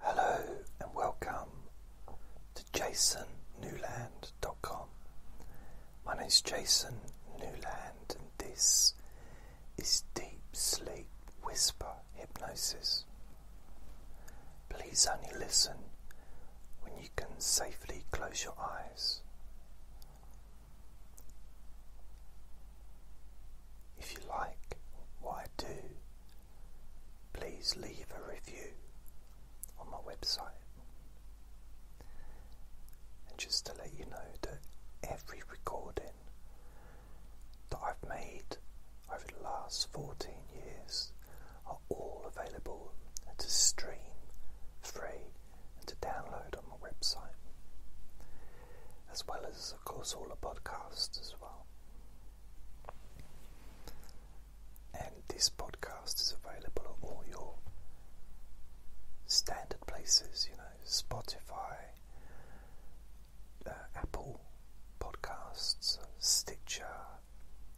Hello and welcome to jasonnewland.com. My name is Jason Newland, and this is Deep Sleep Whisper Hypnosis. Please only listen when you can safely close your eyes. If you like what I do, please leave a review on my website. And just to let you know that every recording that I've made over the last 14 years are all available to stream free and to download on my website. As well as, of course, all the podcasts as well. And this podcast is available at all your standard places, you know, Spotify, uh, Apple Podcasts, Stitcher,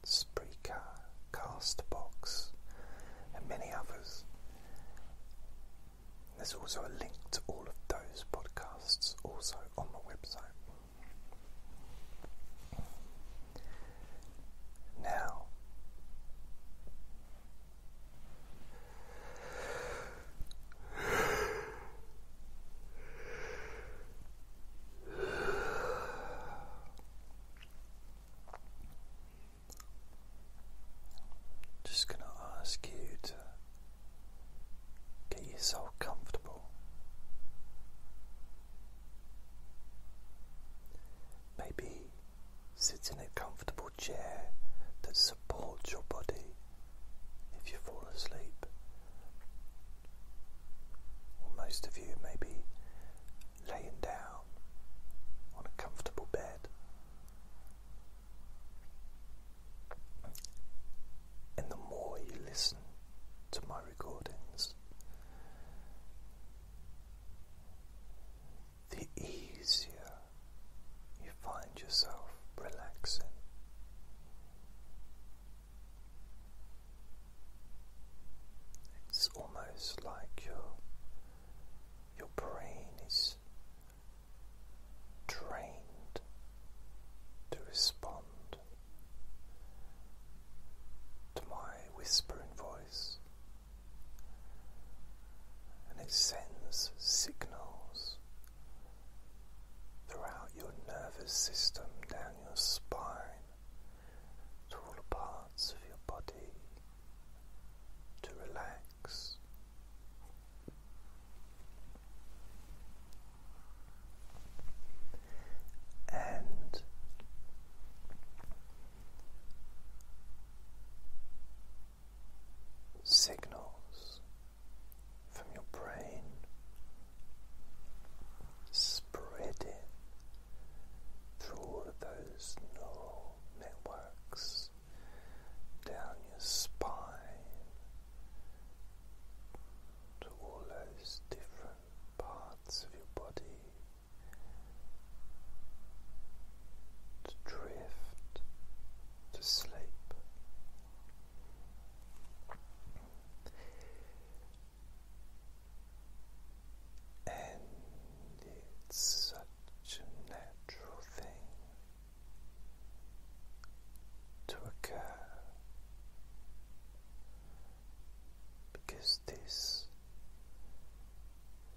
Spreaker, Castbox, and many others. There's also a link to all of those podcasts also on the website. Now, just going to ask you to Get yourself comfortable. Maybe sit in a comfortable chair that supports your body if you fall asleep. Or most of you may be laying down on a comfortable bed and the more you listen to my recordings, the easier you find yourself relaxing. It's almost like your your brain is trained to respond to my whispering voice, and it sends signals throughout your nervous system, down your spine, to all the parts of your body to relax and signals from your brain spreading through all of those neural networks down your spine to all those different parts of your body to drift to sleep. And it's such a natural thing to occur because this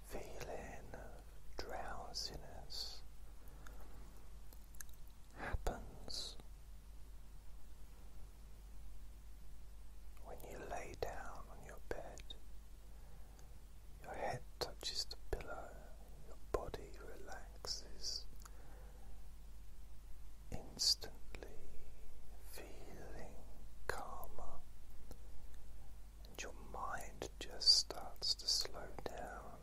feeling of drowsiness happens when you lay down on your bed. Your head touches the pillow, your body relaxes relaxes, instantly feeling calmer, and your mind just starts to slow down.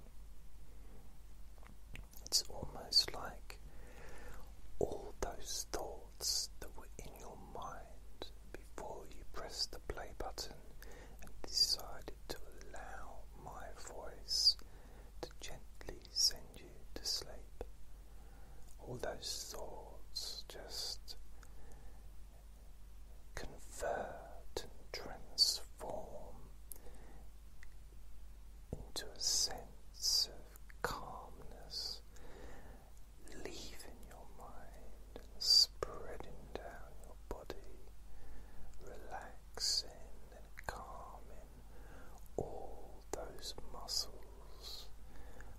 It's almost like all those thoughts that were in your mind before you pressed the play button and decided to allow my voice to gently send you to sleep. All those thoughts just convert and transform into a sense of calmness, leaving your mind and spreading down body, relaxing and calming all those muscles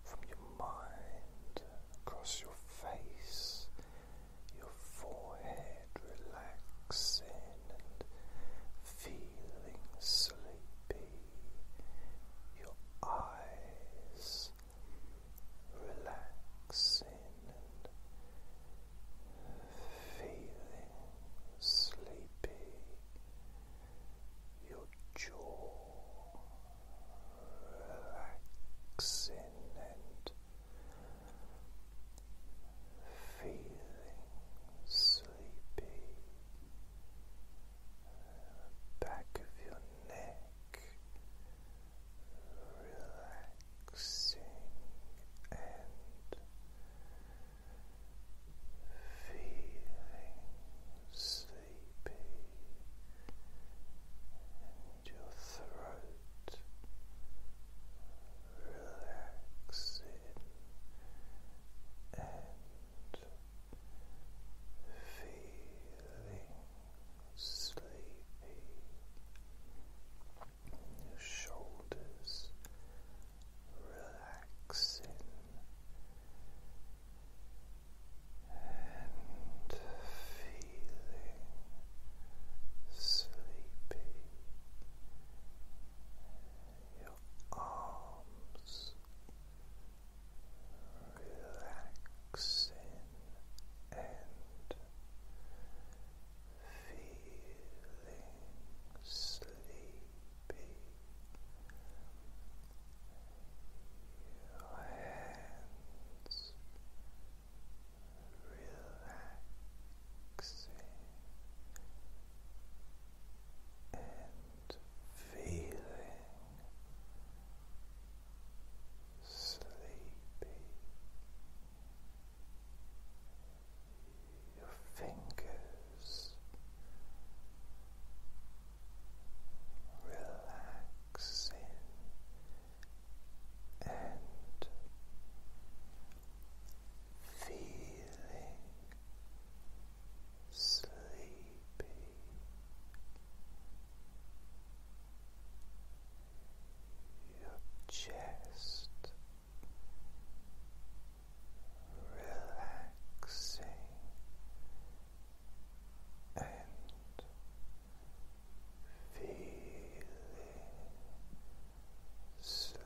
from your mind across your face, your forehead relaxing and feeling sleepy, your eyes relaxing feeling sleepy, your jaw relaxing and feeling sleepy. Back of your neck relaxing and feeling sleepy and your throat relaxing and feeling sleepy your shoulders relaxing and feeling sleepy, your arms relaxing and feeling sleepy. Your hands relaxing and feeling sleepy your fingers relaxing and feeling sleepy your chest relaxing and feeling sleepy.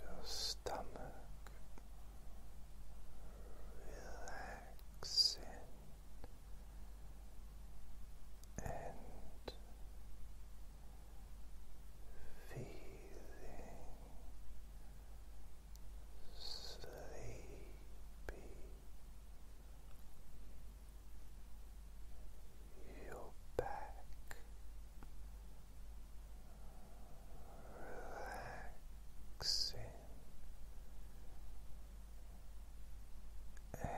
Your stomach relaxing and feeling sleepy. Your back relaxing and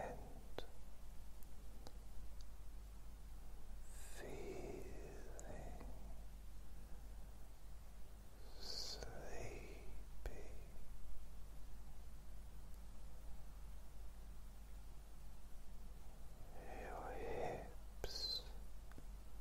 feeling sleepy. Your hips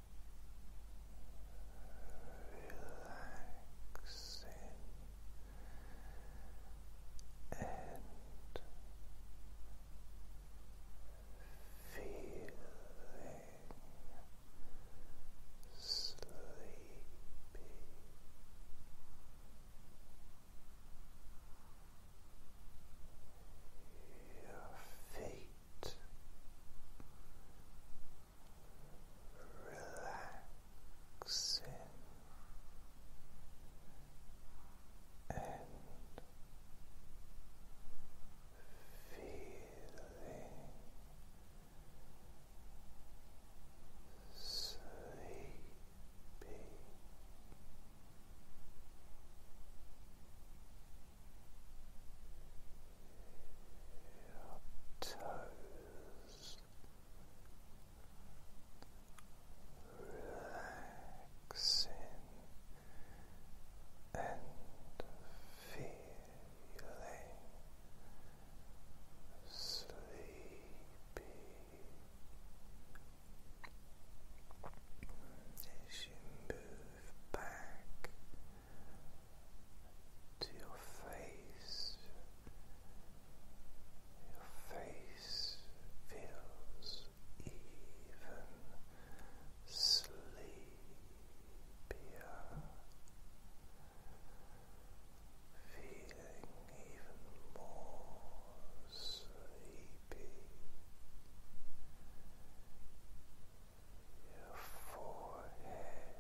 relaxing and feeling sleepy. Your feet relaxing and feeling sleepy toes relaxing and feeling sleepy as you move back to your face. Your face feels even sleepier, feeling even more sleepy your forehead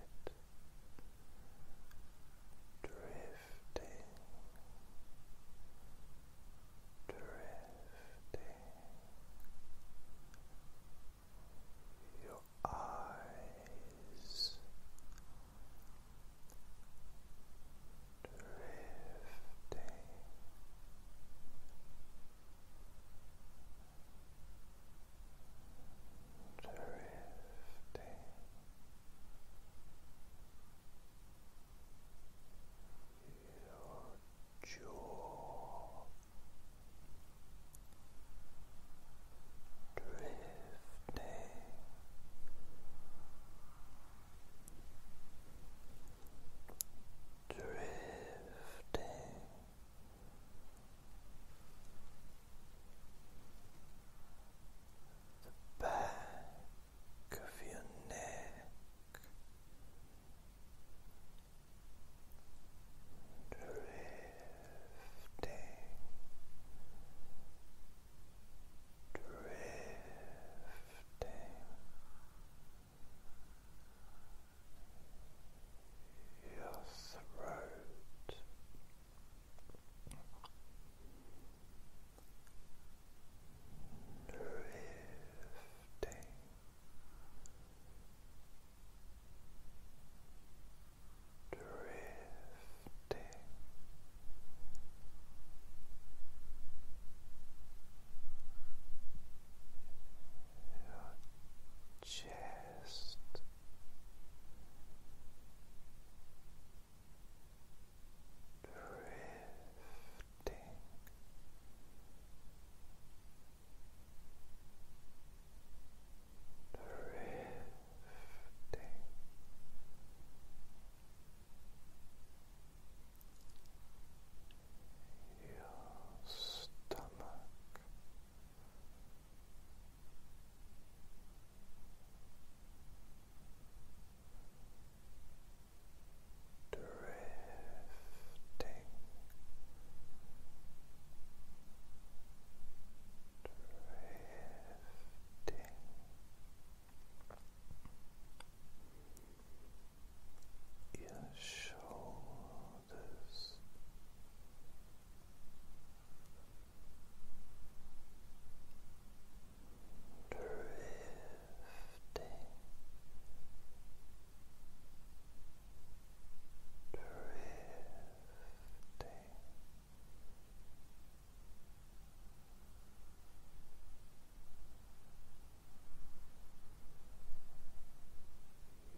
drifting, drifting, your eyes drifting drifting. Your jaw drifting drifting the back of your neck drifting drifting your throat. Drifting drifting your chest. Drifting drifting your stomach, drifting. Drifting your shoulders shoulders. Drifting, drifting,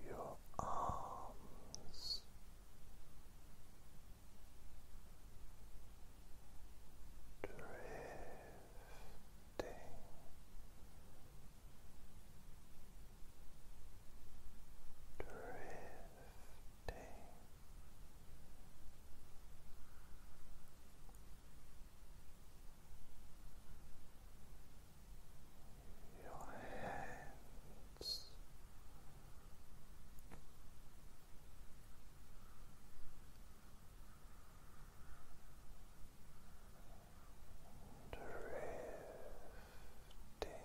your arms. Drifting drifting your hands. Drifting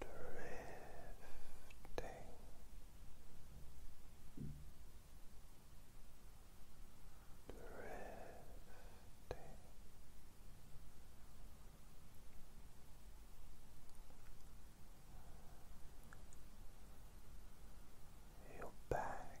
drifting. Drifting your back,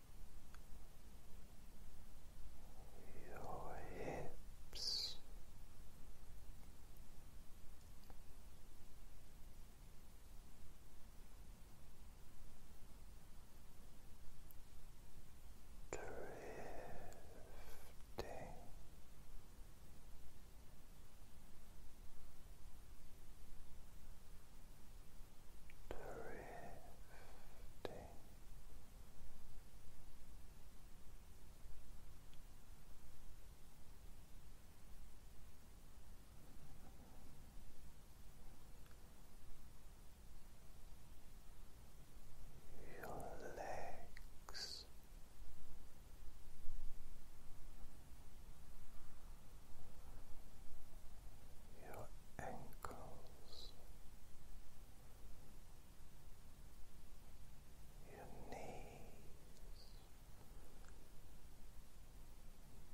your hips. Drifting drifting your legs your ankles, your knees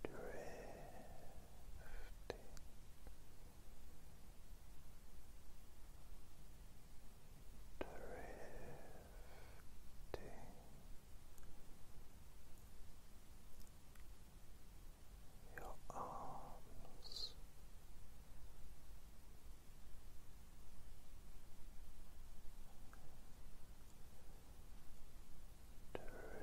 drifting. Drifting your arms. Drifting. Your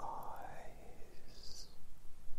eyes. Your feet. Your feet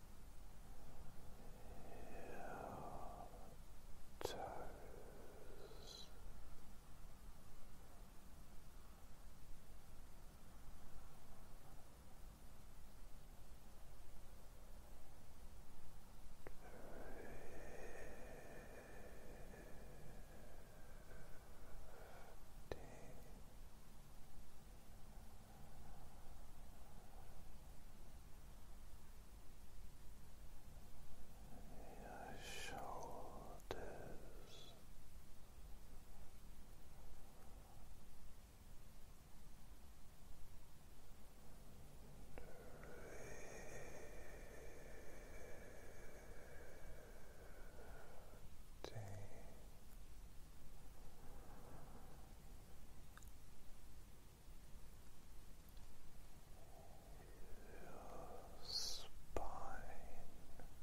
toes. Drifting your shoulders. Drifting your spine. Drifting.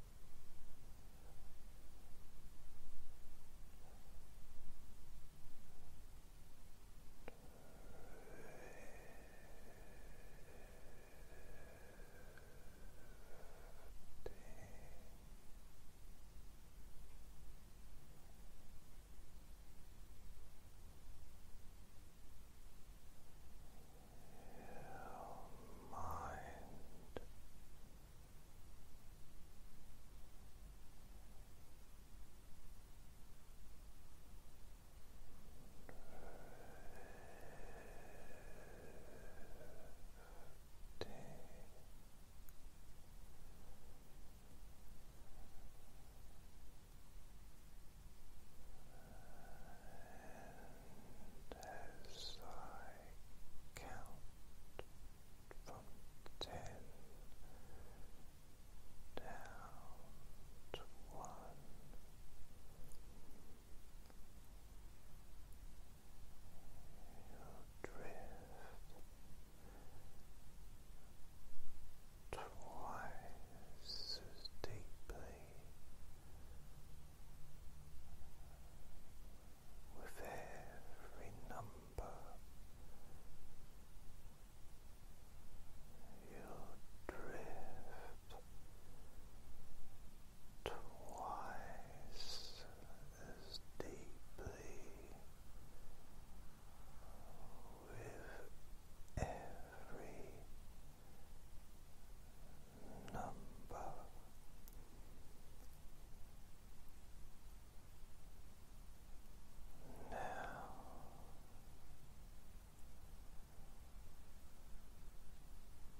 Your mind and as I count from ten down to one, you drift twice as deeply with every number. you drift twice as deeply with every number. Now